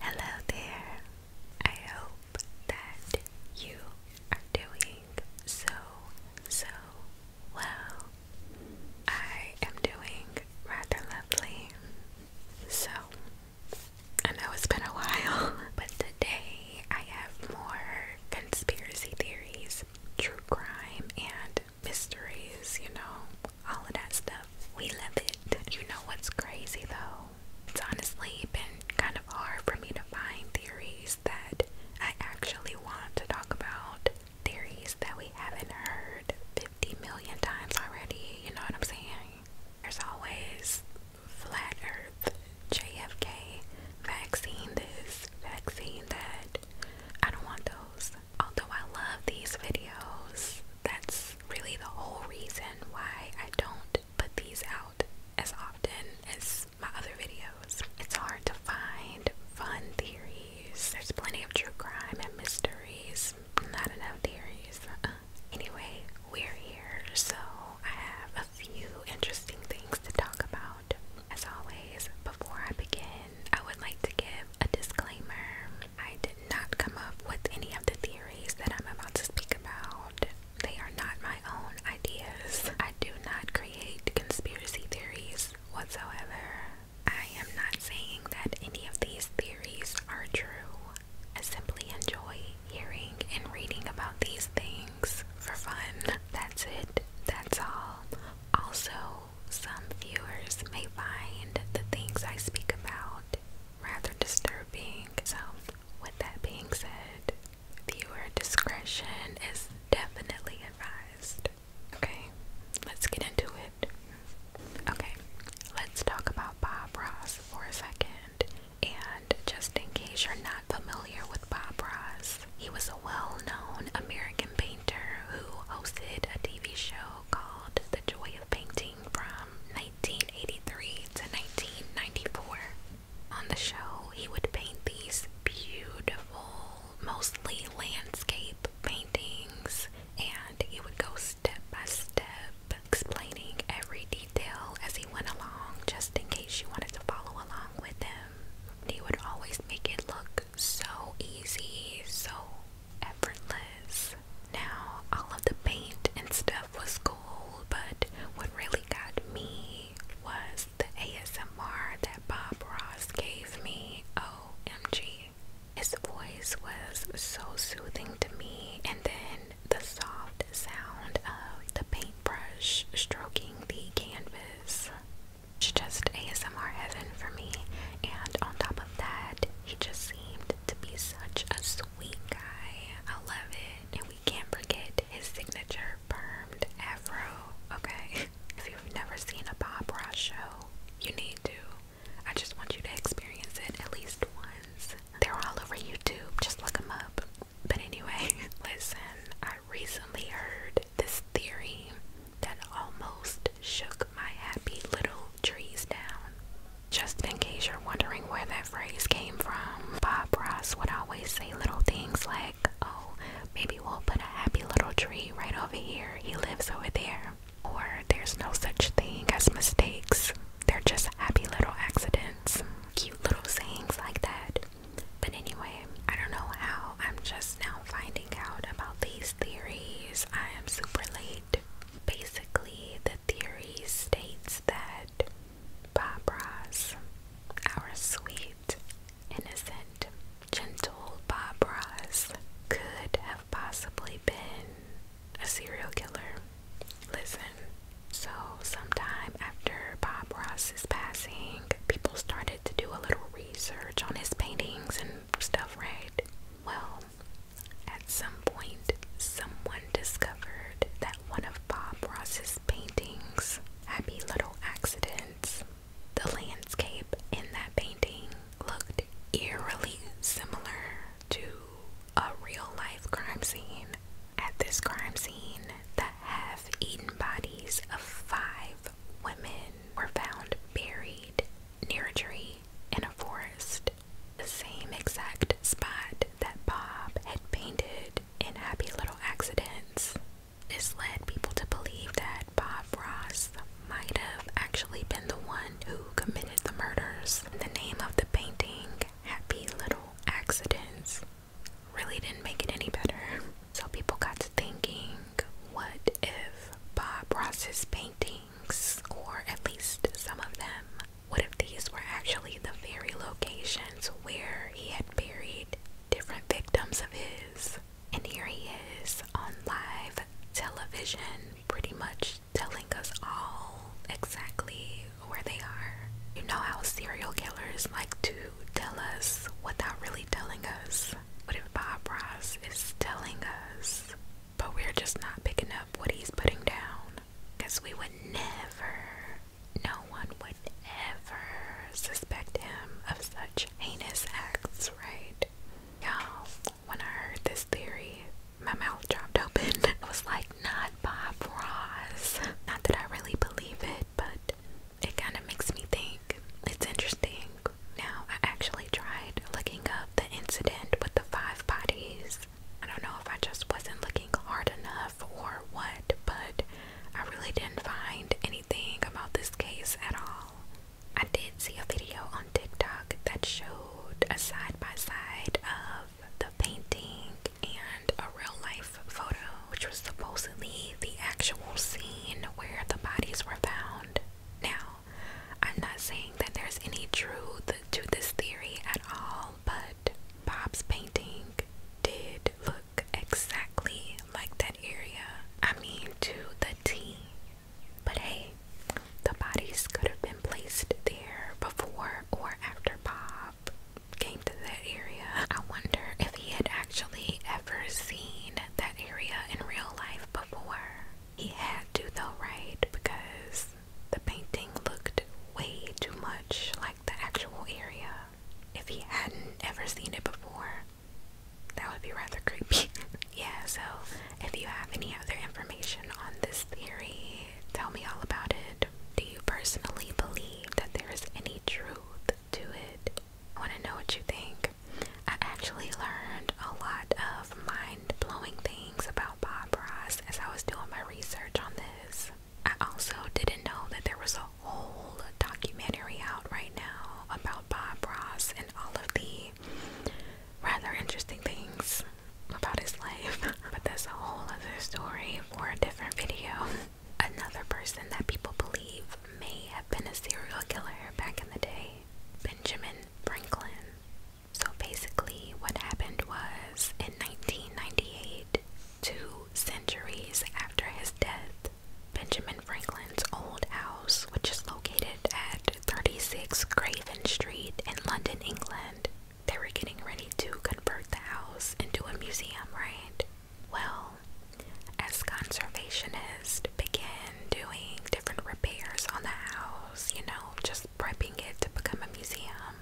Hello there. I hope that you are doing so, so well. I am doing rather lovely. So, I know it's been a while, but today I have more conspiracy theories, true crime, and mysteries, you know all of that stuff. We love it. You know what's crazy though? It's honestly been kind of hard for me to find theories that I actually want to talk about. Theories that we haven't heard 50 million times already, you know what I'm saying? There's always flat earth, JFK, vaccine this, vaccine that. I don't want those. Although I love these videos, that's really the whole reason why I don't put these out as often as my other videos. It's hard to find fun theories. There's plenty of true crime and mysteries, not enough theories. Uh-uh. Anyway, we're here, so I have a few interesting things to talk about. As always, before I begin, I would like to give a disclaimer. I did not come up with any of the theories that I'm about to speak about. They are not my own ideas. I do not create conspiracy theories whatsoever. I am not saying that any of these theories are true. I simply enjoy hearing and reading about these things for fun. That's it. That's all. Also, some viewers may find the things I speak about rather disturbing. So, with that being said, viewer discretion is definitely advised. Okay, let's get into it. Okay, let's talk about Bob Ross for a second. And just in case you're not familiar with Bob Ross, he was a well known American painter who hosted a TV show called The Joy of Painting from 1983 to 1994. On the show, he would paint these beautiful, mostly landscape paintings, and he would go step by step explaining every detail as he went along, just in case you wanted to follow along with him. He would always make it look so easy, so effortless. Now, all of the paint and stuff was cool, but what really got me was the ASMR that Bob Ross gave me. OMG. His voice was so soothing to me, and then the soft sound of the paintbrush stroking the canvas. It's just ASMR heaven for me, and on top of that, he just seemed to be such a sweet guy. I love it. And we can't forget his signature permed afro. Okay. If you've never seen a Bob Ross show, you need to. I just want you to experience it at least once. They're all over YouTube. Just look them up. But anyway, listen, I recently heard this theory that almost shook my happy little trees down. Just in case you're wondering where that phrase came from, Bob Ross would always say little things like, Oh, maybe we'll put a happy little tree right over here. He lives over there. Or there's no such thing as mistakes, they're just happy little accidents. Cute little sayings like that. But anyway, I don't know how I'm just now finding out about these theories. I am super late Basically, the theory states that Bob Ross, our sweet, innocent, gentle Bob Ross, could have possibly been a serial killer. Listen, so sometime after Bob Ross's passing, people started to do a little research on his paintings and stuff, right? Well, at some point, someone discovered that one of Bob Ross's paintings, Happy Little Accidents, the landscape in that painting looked eerily similar to a real life crime scene. At this crime scene, the half eaten bodies of five women were found buried near a tree in a forest, the same exact spot that Bob had painted in Happy Little Accidents. This led people to believe that Bob Ross might have actually been the one who committed the murders. The name of the painting, Happy Little Accidents, really didn't make it any better. So people got to thinking, what if Bob Ross's painting or at least some of them. What if these were actually the very locations where he had buried different victims of his? And here he is on live television, pretty much telling us all exactly where they are. You know how serial killers like to tell us without really telling us. What if Bob Ross is telling us but we're just not picking up what he's putting down. Because we would never, no one would ever suspect him of such heinous acts, right? Y'all, when I heard this theory, my mouth dropped open. I was like, not Bob Ross. Not that I really believe it, but it kind of makes me think. It's interesting. Now, I actually tried looking up the incident with the five bodies I don't know if I just wasn't looking hard enough or what, but I really didn't find anything about this case at all. I did see a video on TikTok that showed a side by side of the painting and a real life photo, which was supposedly the actual scene where the bodies were found. Now, I'm not saying that there's any truth to this theory at all, but Bob's painting did look exactly like that area. I mean, to the T. But hey, the bodies could have been placed there before or after Bob came to that area. I wonder if he had actually ever seen that area in real life before. He had to, though, right? Because the painting looked way too much like the actual area. If he hadn't ever seen it before, that would be rather creepy. yeah, so if you have any other information on this theory, tell me all about it. Do you personally believe that there is any truth to it? I want to know what you think. I actually learned a lot of my blowing things about Bob Ross as I was doing my research on this. I also didn't know that there was a whole documentary out right now about Bob Ross and all of the rather interesting things about his life. but that's a whole other story for a different video. Another person that people believe may have been a serial killer back in the day, Benjamin Franklin. So basically, what happened was in 1998, two centuries after his death, Benjamin Franklin's old house, which is located at 36 Craven Street in London, England, they were getting ready to convert the house into a museum, right? Well, as conservationists began doing different repairs on the house, you know, just prepping it to become a museum,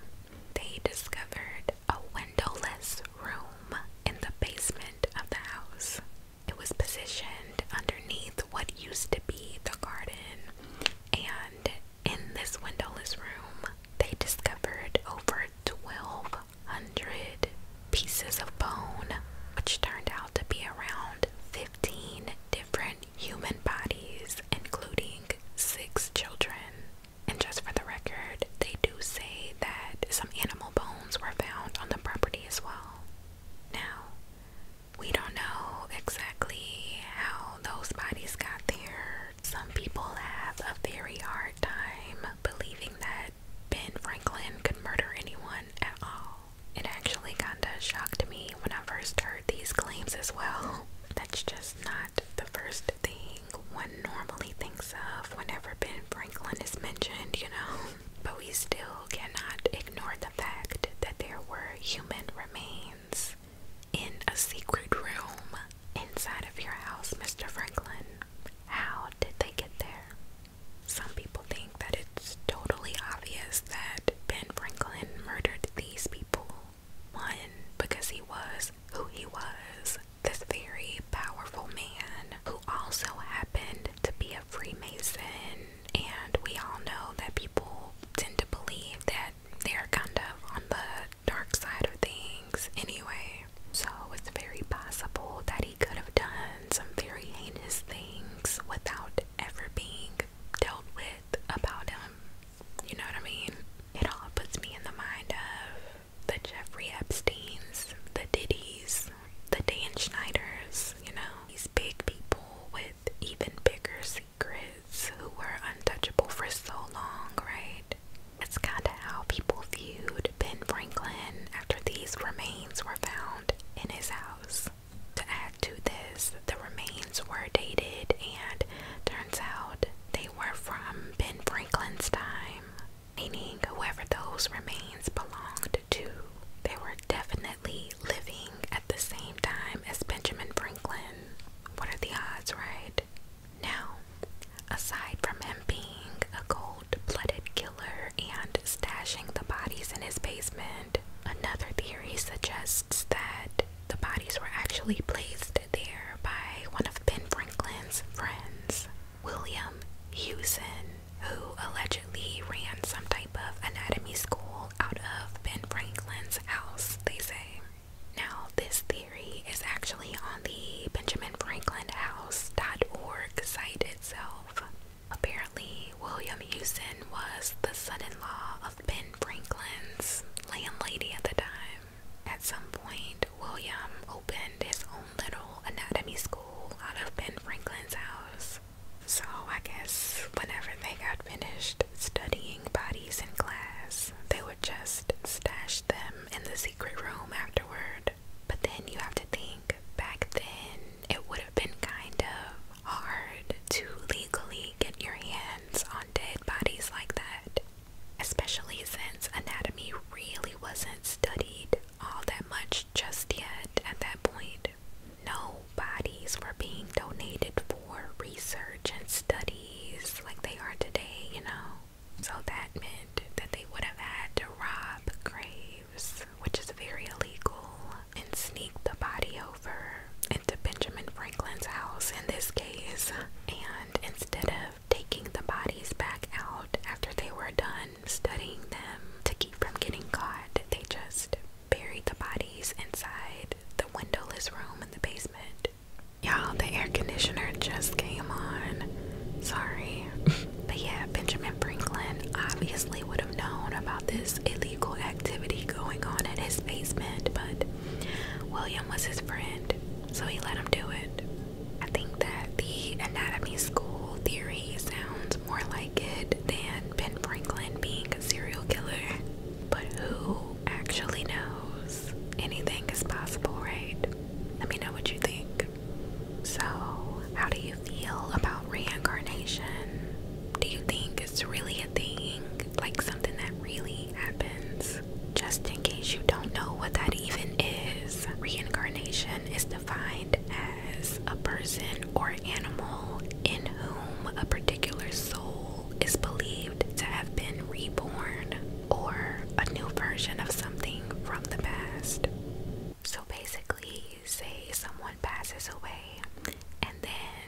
they discovered a windowless room in the basement of the house. It was positioned underneath what used to be the garden, and in this windowless room, they discovered over 1,200 pieces of bone, which turned out to be around 15 different human bodies, including six children. And just for the record, they do say that some animal bones were found on the property as well. Now, we don't know exactly how those bodies got there. Some people have a very hard time believing that Ben Franklin could murder anyone at all. It actually kinda shocked me when I first heard these claims as well. That's just not the first thing one normally thinks of whenever Ben Franklin is mentioned, you know. But we still cannot ignore the fact that there were human remains in a secret room inside of your house, Mr. Franklin. How did they get there? Some people think that it's totally obvious that Ben Franklin murdered these people one, because he was who he was, this very powerful man who also happened to be a Freemason. And we all know that people tend to believe that they're kind of on the dark side of things anyway. So it's very possible that he could have done some very heinous things without ever being dealt with about him. You know what I mean? It all puts me in the mind of the Jeffrey Epsteins, the Diddies, the Dan Schneiders, you know, these big people with even bigger secrets who were untouchable for so long, right? It's kind of how people viewed Ben Franklin after these remains were found in his house to this, the remains were dated, and turns out they were from Ben Franklin's time, meaning whoever those remains belonged to. They were definitely living at the same time as Benjamin Franklin. What are the odds, right? Now, aside from him being a cold blooded killer and stashing the bodies in his basement, another theory suggests that the bodies were actually placed there by one of Ben Franklin's friends, William Hewson, who allegedly ran some type of anatomy school out of Ben Franklin's house, they say. Now, this theory is actually on the Benjamin Franklin House.org site itself. Apparently, William Hewson was the son in law of loved Ben Franklin's landlady at the time. At some point, William opened his own little anatomy school out of Ben Franklin's house. So I guess whenever they got finished studying bodies in class, they would just stash them in the secret room afterward. But then you have to think, back then it would have been kind of hard to legally get your hands on dead dead bodies like that, especially since anatomy really wasn't studied all that much just yet at that point. No bodies were being donated for research and studies like they are today, you know. So that meant that they would have had to rob graves, which is very illegal, and sneak the body into Benjamin Franklin's house in this case, and instead of taking the bodies back out after they were done studying them to keep from getting caught, they just buried the bodies inside the windowless room in the basement. Y'all, the air conditioner just came on. Sorry. but yeah, Benjamin Franklin obviously would have known about this illegal activity going on in his basement, but William was his friend, so he let him do it. I think that the anatomy school theory sounds more like it than Ben Franklin being a serial killer. But who actually knows? Anything is possible, right? Let me know what you think. So, how do you feel about reincarnation? Do you think it's really a thing? like something that really happens. Just in case you don't know what that even is, reincarnation is defined as a person or animal in whom a particular soul is believed to have been reborn or a new version of something from the past. So basically, say someone passes away and then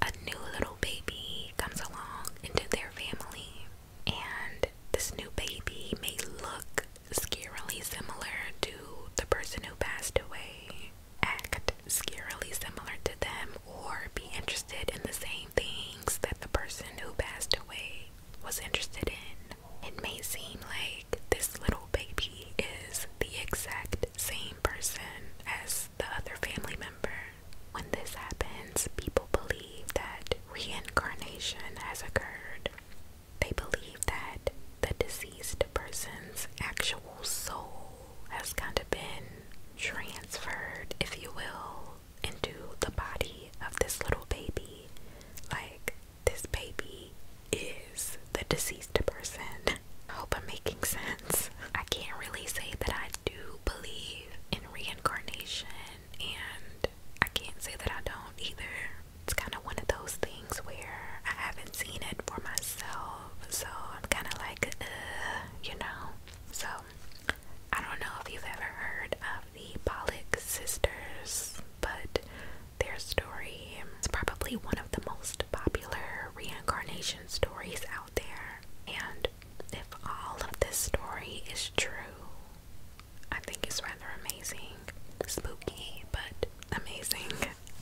a new little baby comes along into their family, and this new baby may look scarily similar to the person who passed away, act scarily similar to them, or be interested in the same things that the person who passed away was interested in. It may seem like this little baby is the exact same person as the other family member. When this happens, people believe that reincarnation has occurred. They believe that the deceased person's actual soul has kind of been transferred, if you will, into the body of this little baby. Like, this baby is the deceased person. I hope I'm making sense. I can't really say that I do believe in reincarnation, and I can't say that I don't either. It's kind of one of those things where I haven't seen it for myself, so I'm kind of like, you know. So, I don't know if you've ever heard of the Pollock sisters, but their story is probably one of the most popular reincarnation stories out there. And if all of this story is true, I think it's rather amazing. Spooky, but amazing.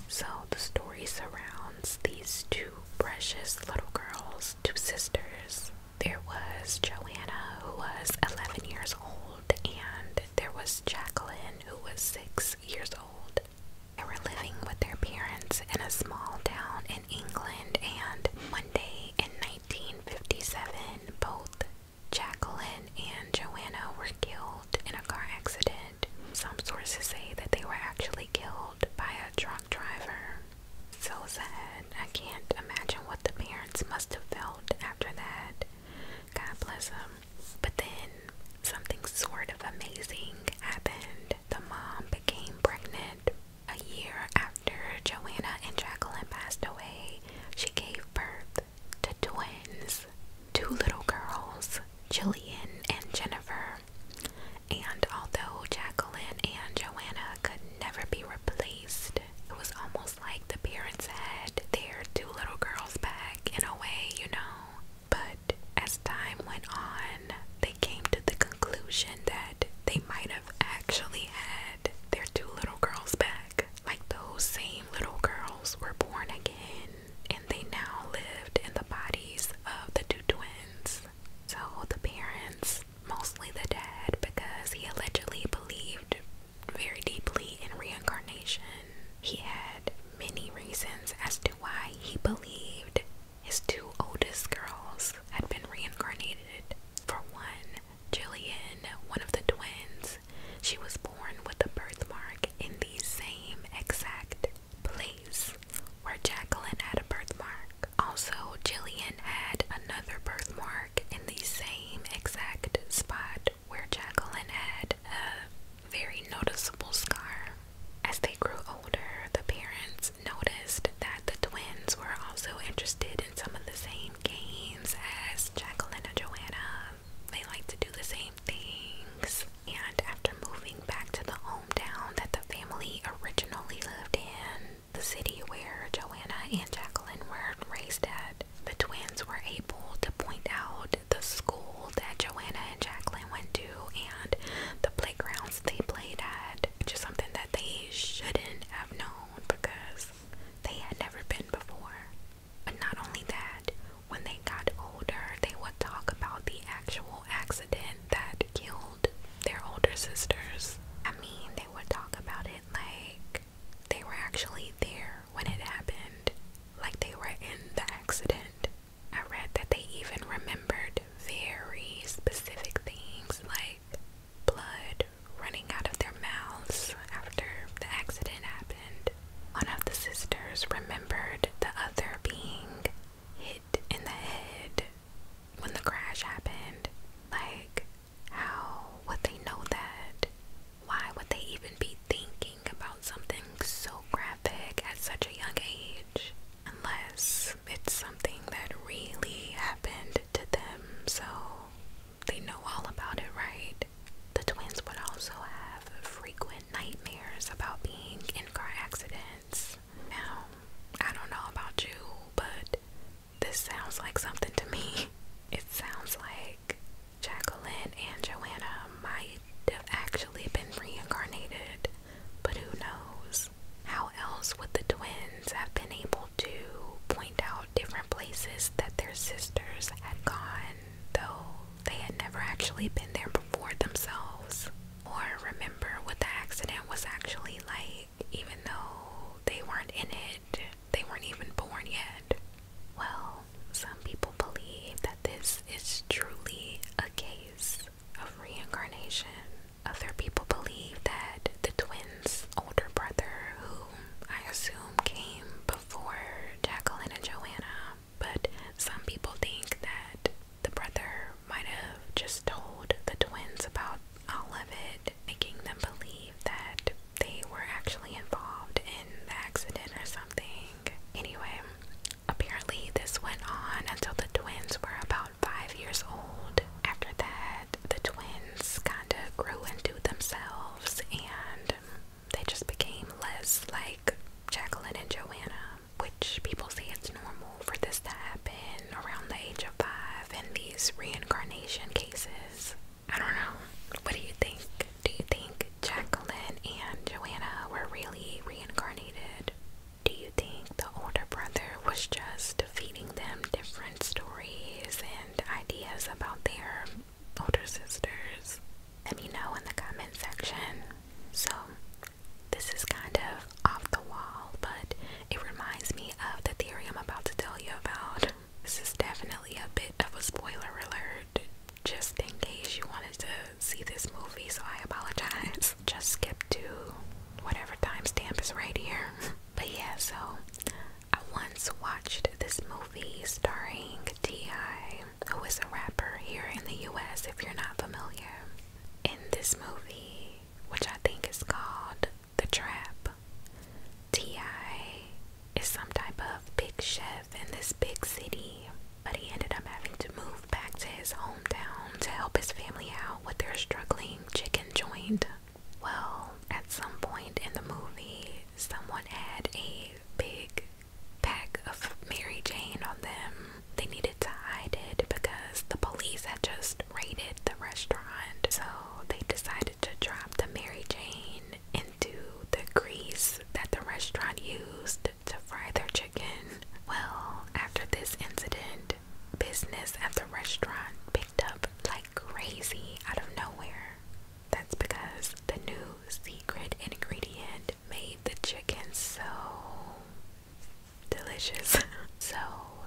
So the story surrounds these two precious little girls, two sisters. There was Joanna, who was 11 years old, and there was Jacqueline, who was 6 years old. They were living with their parents in a small town in England, and Monday in 1957, both Jacqueline and Joanna were killed in a car accident. Some sources say that they were actually killed by a drunk driver. So sad. I can't imagine what the parents must have felt after that. God bless them. But then something sort of amazing happened. The mom became pregnant a year after Joanna and Jacqueline passed away, she gave birth to twins, two little girls, Jillian and Jennifer. And although Jacqueline and Joanna could never be replaced, it was almost like the parents had their two little girls back in a way, you know. But as time went on, they came to the conclusion that they might have actually had their two little girls back. Like those same little girls were born again and they now lived in the bodies of the two twins. So the parents, mostly the dad, because he allegedly believed very deeply in reincarnation, he had many reasons as to why he believed his two oldest girls had been reincarnated. For one, Jillian, one of the twins, she was born with a birthmark in the same exact place where Jacqueline had a birthmark. Also, Jillian had another birthmark in the same exact spot where Jacqueline had a very noticeable scar. As they grew older, the parents noticed that the twins were also interested in some of the same games as Jacqueline and Joanna. They like to do the same things. And after moving back to the home town that the family originally lived in, the city where Joanna and Jacqueline were raised at, the twins were able to point out the school that Joanna and Jacqueline went to and the playgrounds they played at, which is something that they shouldn't have known because they had never been before. But not only that, when they got older, they would talk about the actual accident that killed their older sisters. I mean, they would talk about it like they were actually there when it happened, like they were in the accident. I read that they even remembered very specific things like blood running out of their mouths after the accident happened. One of the sisters remembered the other being hit in the head when the crash happened. Like, how would they know that? Why would they even be thinking about something so graphic at such a young age? Unless it's something that really happened to them, so they know all about it, right? The twins would also have frequent nightmares about being in car accidents. Now, I don't know about you, but this sounds like something to me. It sounds like Jacqueline and Joanna might have actually been reincarnated but who knows? How else would the twins have been able to point out different places that their sisters had gone, though they had never actually been there before themselves? Or remember what the accident was actually like, even though they weren't in it, they weren't even born yet. Well, some people believe that this is truly a case of reincarnation. Other people believe that the twins' older brother, who I assume came before Jacqueline and Joanna, but some people think that the brother might have just told the twins about all of it, making them believe that they were actually involved in the accident or something. Anyway, apparently this went on until the twins were about five years old. After that, the twins kind of grew into themselves and they just became less like Jacqueline and Joanna, which people say it's normal for this to happen around the age of five in these reincarnation cases. I don't know. What do you think? Do you think Jacqueline and Joanna were really reincarnated? Do you think the older brother was just feeding them different stories and ideas about their older sisters? Let me know in the comment section. So, this is kind of off the wall, but it reminds me of the theory I'm about to tell you about. This is definitely a bit of a spoiler alert, just in case you wanted to see this movie, so I apologize. Just skip to whatever timestamp is right here. But yeah, so I once watched this movie starring T.I., who is a rapper here in the US, if you're not familiar. In this movie, which I think is called The Trap, T.I. is some type of big chef in this big city, but he ended up having to move back to his hometown to help his family out with their struggling chicken joint. Well, at some point in the movie, someone had a big pack of Mary Jane on them. They needed to hide it because the police had just raided the restaurant. So they decided to drop the Mary Jane into the grease that the restaurant used to fry their chicken. Well, after this incident, business at the restaurant picked up like crazy out of nowhere. That's because the new secret ingredient made the chicken so delicious. so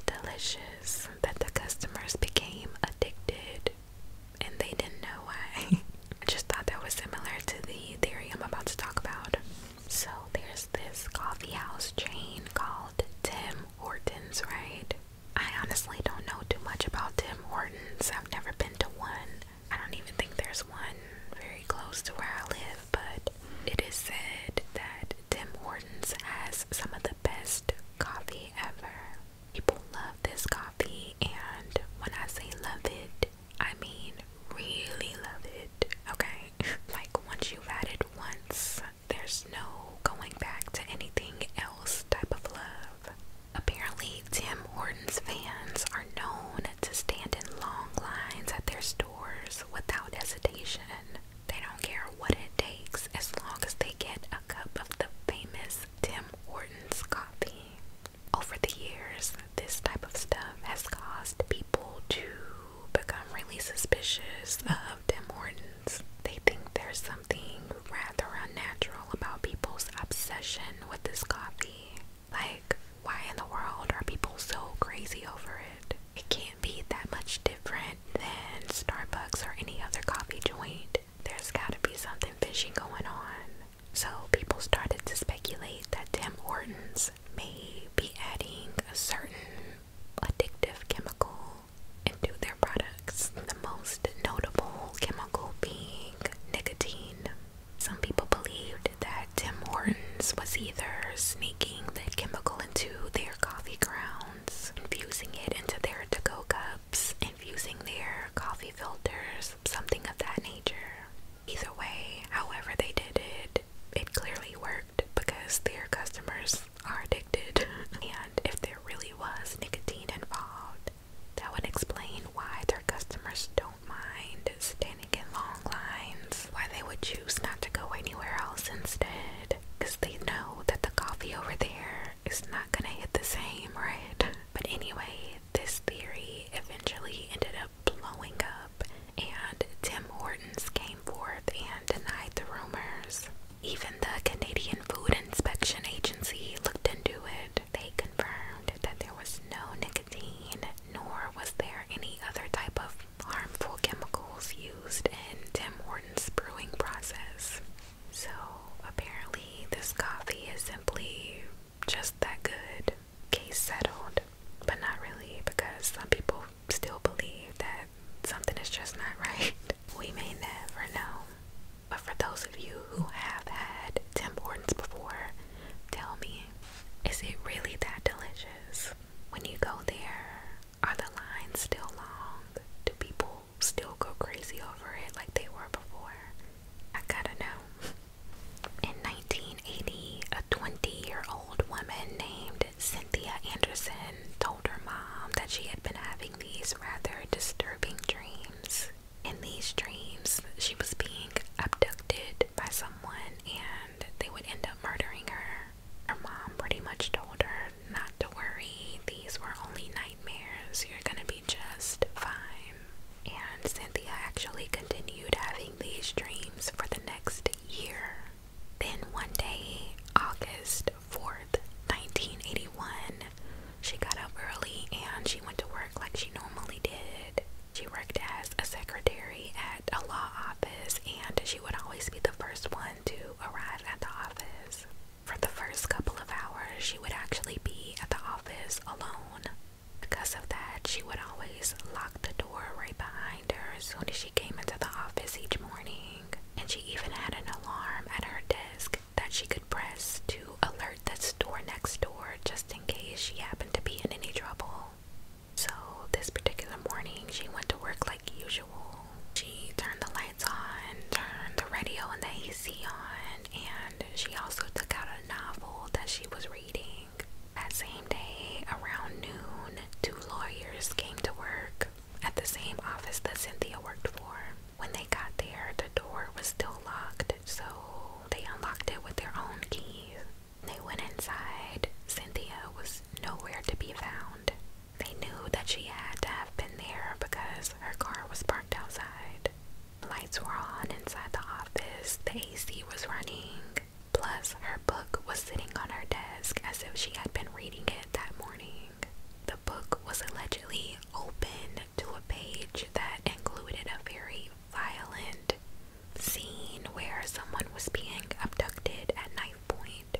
delicious that the customers became addicted and they didn't know why. I just thought that was similar to the theory I'm about to talk about. So there's this coffee house chain called Tim Hortons, right? I honestly don't know too much about Tim Hortons. I've never been to one. I don't even think there's one very close to where I live, but it is said that Tim Hortons has some of the best coffee ever. People love this coffee, and when I say love it, I mean really love it, okay? like, once you've had it once, there's no going back to anything else type of love. Apparently, Tim Hortons fans are known to stand in long lines at their stores without hesitation. They don't care what it takes as long as they get a cup of the famous Tim Hortons coffee. Over the years, this type of stuff has caused people to become really suspicious of Tim Hortons. They think there's something rather unnatural about people's obsession with this coffee. Like, why in the world are people so crazy over it? It can't be that much different than Starbucks or any other coffee joint. There's gotta be something fishy going on. So, people started to speculate that Tim Hortons may be adding a certain addictive chemical into their products. The most notable chemical being nicotine. Some people believed that Tim Hortons was either sneaking the chemical into their coffee grounds, infusing it into their to go cups, infusing their coffee filters, something of that nature. Either way, however, they did it, it clearly worked because their customers are addicted. and if there really was nicotine involved, that would explain why their customers don't mind standing in long lines, why they would choose not to go anywhere else instead, because they know that the coffee over there is not gonna hit the same, right? But anyway, this theory eventually ended up blowing up, and Tim Hortons came forth and denied the rumors. Even the Canadian Food Inspection Agency looked into it. They confirmed that there was no nicotine, nor was there any other type of harmful chemicals used in Tim Horton's brewing process. So apparently, this coffee is simply just that good. Case settled, but not really because some people still believe that something is just not right. We may never know. But for those of you who have had Tim Hortons before, tell me, is it really that delicious? When you go there, are the lines still long? Do people still go crazy over it like they were before? I gotta know. In 1980, a 20 year old woman named Cynthia Anderson told her mom that she had been having these rather disturbing dreams. In these dreams, she was being abducted by someone and they would end up murdering her. Her mom pretty much told her not to worry, these were only nightmares, you're gonna be just fine. And Cynthia actually continued having these dreams for the next year. Then one day, August 4th, 1981, she got up early and she went to work like she normally did. She worked as a secretary at a law office and she would always be the first one to arrive at the office. For the first couple of hours, she would actually be at the office alone. Because of that, she would always lock the door right behind her as soon as she came into the office each morning and she even had an alarm at her desk that she could press to alert the store next door just in case she happened to be in any trouble. So, this particular morning, she went to work like usual. She turned the lights on, turned the radio and the AC on, and she also took out a novel that she was reading. That same day, around noon, two lawyers came to work at the same office that Cynthia worked for. When they got there, the door was still locked, so they unlocked it with their own keys. They went inside. Cynthia was nowhere to be found. They knew that she had to have been there because her car was parked outside. Lights were on inside the office, the AC was running, plus her book was sitting on her desk as if she had been reading it that morning. The book was allegedly open to a page that included a very violent scene where someone was being abducted at knife point.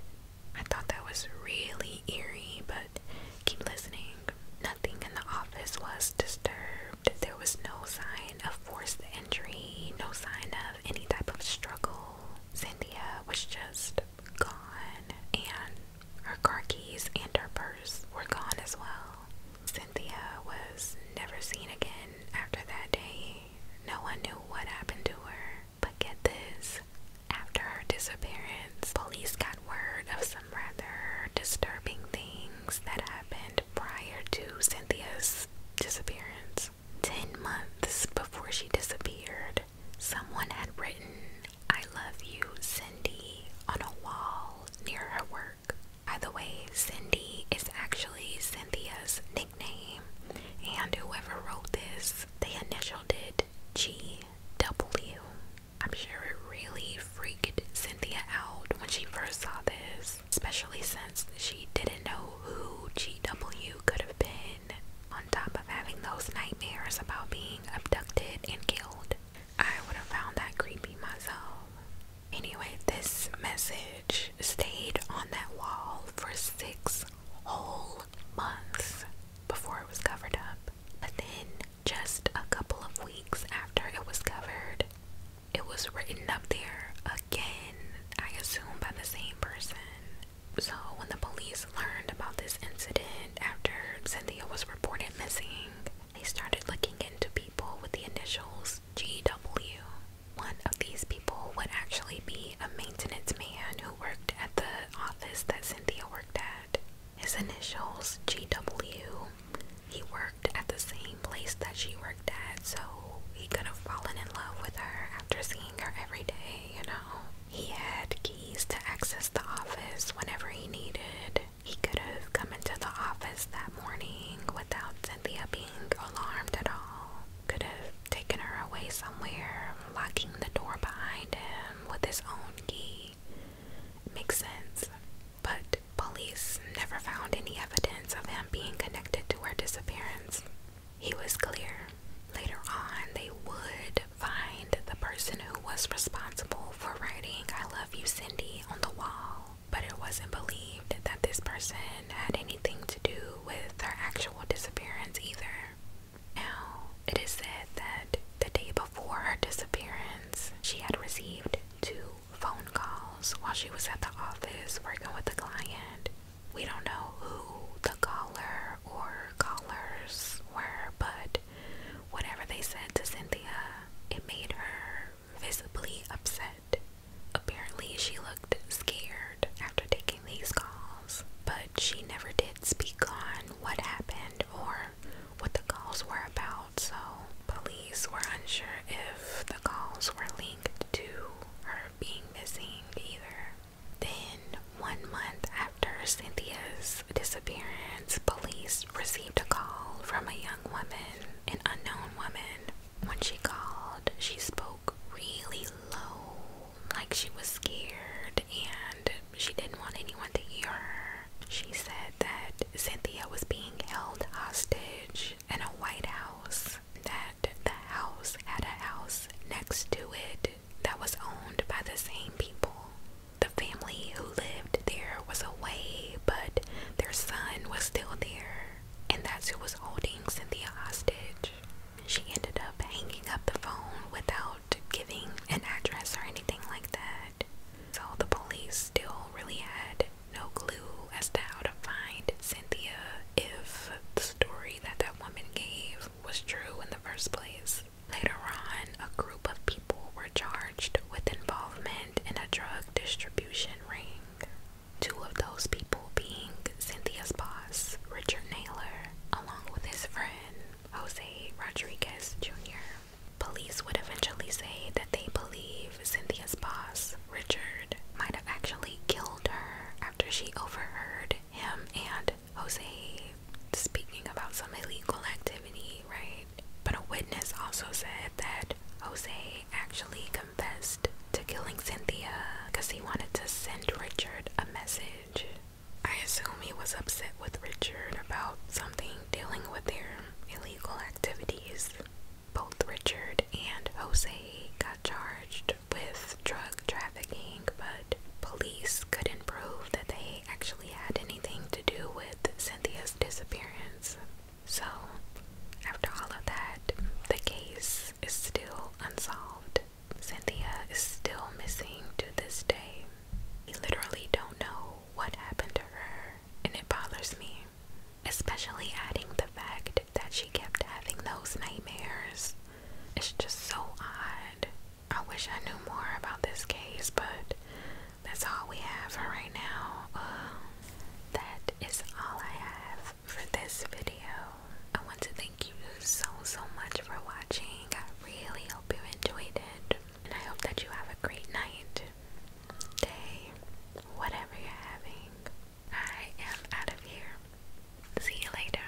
I thought that was really eerie, but keep listening. Nothing in the office was disturbed. There was no sign of forced entry, no sign of any type of struggle. Cynthia was just gone, and her car keys and her purse were gone as well. Cynthia was never seen again after that day. No one knew what happened to her. But get this after her disappearance, police got word of some rather disturbing things that happened prior to Cynthia's disappearance. Ten months before she disappeared, Someone had written, I love you, Cindy, on a wall near her work. By the way, Cindy is actually Cynthia's nickname, and whoever wrote this, they initialed it GW. I'm sure it really freaked Cynthia out when she first saw this, especially since she didn't know who GW could have been on top of having those nightmares about being abducted and killed, I would have found that creepy myself. Anyway, this message stayed on that wall for six whole months before it was covered up. But then, just a couple of weeks after it was covered, it was written up there again, I assume by the same person. So, when the police learned about this incident after Cynthia was reported missing, they started looking into people with the initials GW. One of these people would actually be a maintenance man who worked at the office that Cynthia worked at. His initials GW. He worked at the same place that she worked at, so he could have fallen in love with her after seeing her every day, you know. He had keys to access the office whenever he needed. He could have come into the office that morning without Cynthia being alarmed at all. Could have taken her away somewhere, locking the door behind him with his own key. It makes sense. But police never found any evidence of him being connected to her disappearance. He was clear. Later on, they would find the person who was responsible for writing I love you, Cindy on the wall, but it wasn't believed that this person had anything to do with her actual disappearance either. Now, it is said that the day before her disappearance, she had received two phone calls while she was at the office working with a client. We don't know who the caller or collars were, but whatever they said to Cynthia, it made her visibly upset. Apparently, she looked scared after taking these calls, but she never did speak on what happened or what the calls were about, so police were unsure if the calls were linked to her being missing either. Then, one month after Cynthia's disappearance, police received a call from a young woman, an unknown woman. When she called, she spoke really low, like she was scared and she didn't want anyone to hear her. She said that Cynthia was being held hostage in a white house, that the house had a house next to it that was owned by the same people. The family who lived there was away, but their son was still there, and that's who was holding Cynthia hostage. She ended up hanging up the phone without giving an address or anything like that. So the police still really had no clue as to how to find Cynthia if the story that that woman gave was true in the first place. Later on, a group of people were charged with involvement in a drug distribution ring. Two of those people being Cynthia's boss, Richard Naylor, along with his friend, Jose Rodriguez Jr. Police would eventually say that they believe Cynthia's boss, Richard, might have actually killed her after she overheard him and Jose speaking about some illegal activity, right? But a witness also said that Jose actually confessed to killing Cynthia because he wanted to send Richard a message. I assume he was upset with Richard about something dealing with their illegal activities. Both Richard and Jose got charged with drug trafficking, but police couldn't prove that they actually had anything to do with Cynthia's disappearance. So, after all of that, the case is still unsolved. Cynthia is still missing to this day. We literally don't know what happened to her, and it bothers me. Especially adding the fact that she kept having those nightmares. It's just so odd. I wish I knew more about this case, but that's all we have for right now. Um, that is all I have for this video. I want to thank you so, so much for watching. I really hope you enjoyed it. And I hope that you have a great night, day, whatever you're having. I am out of here. See you later.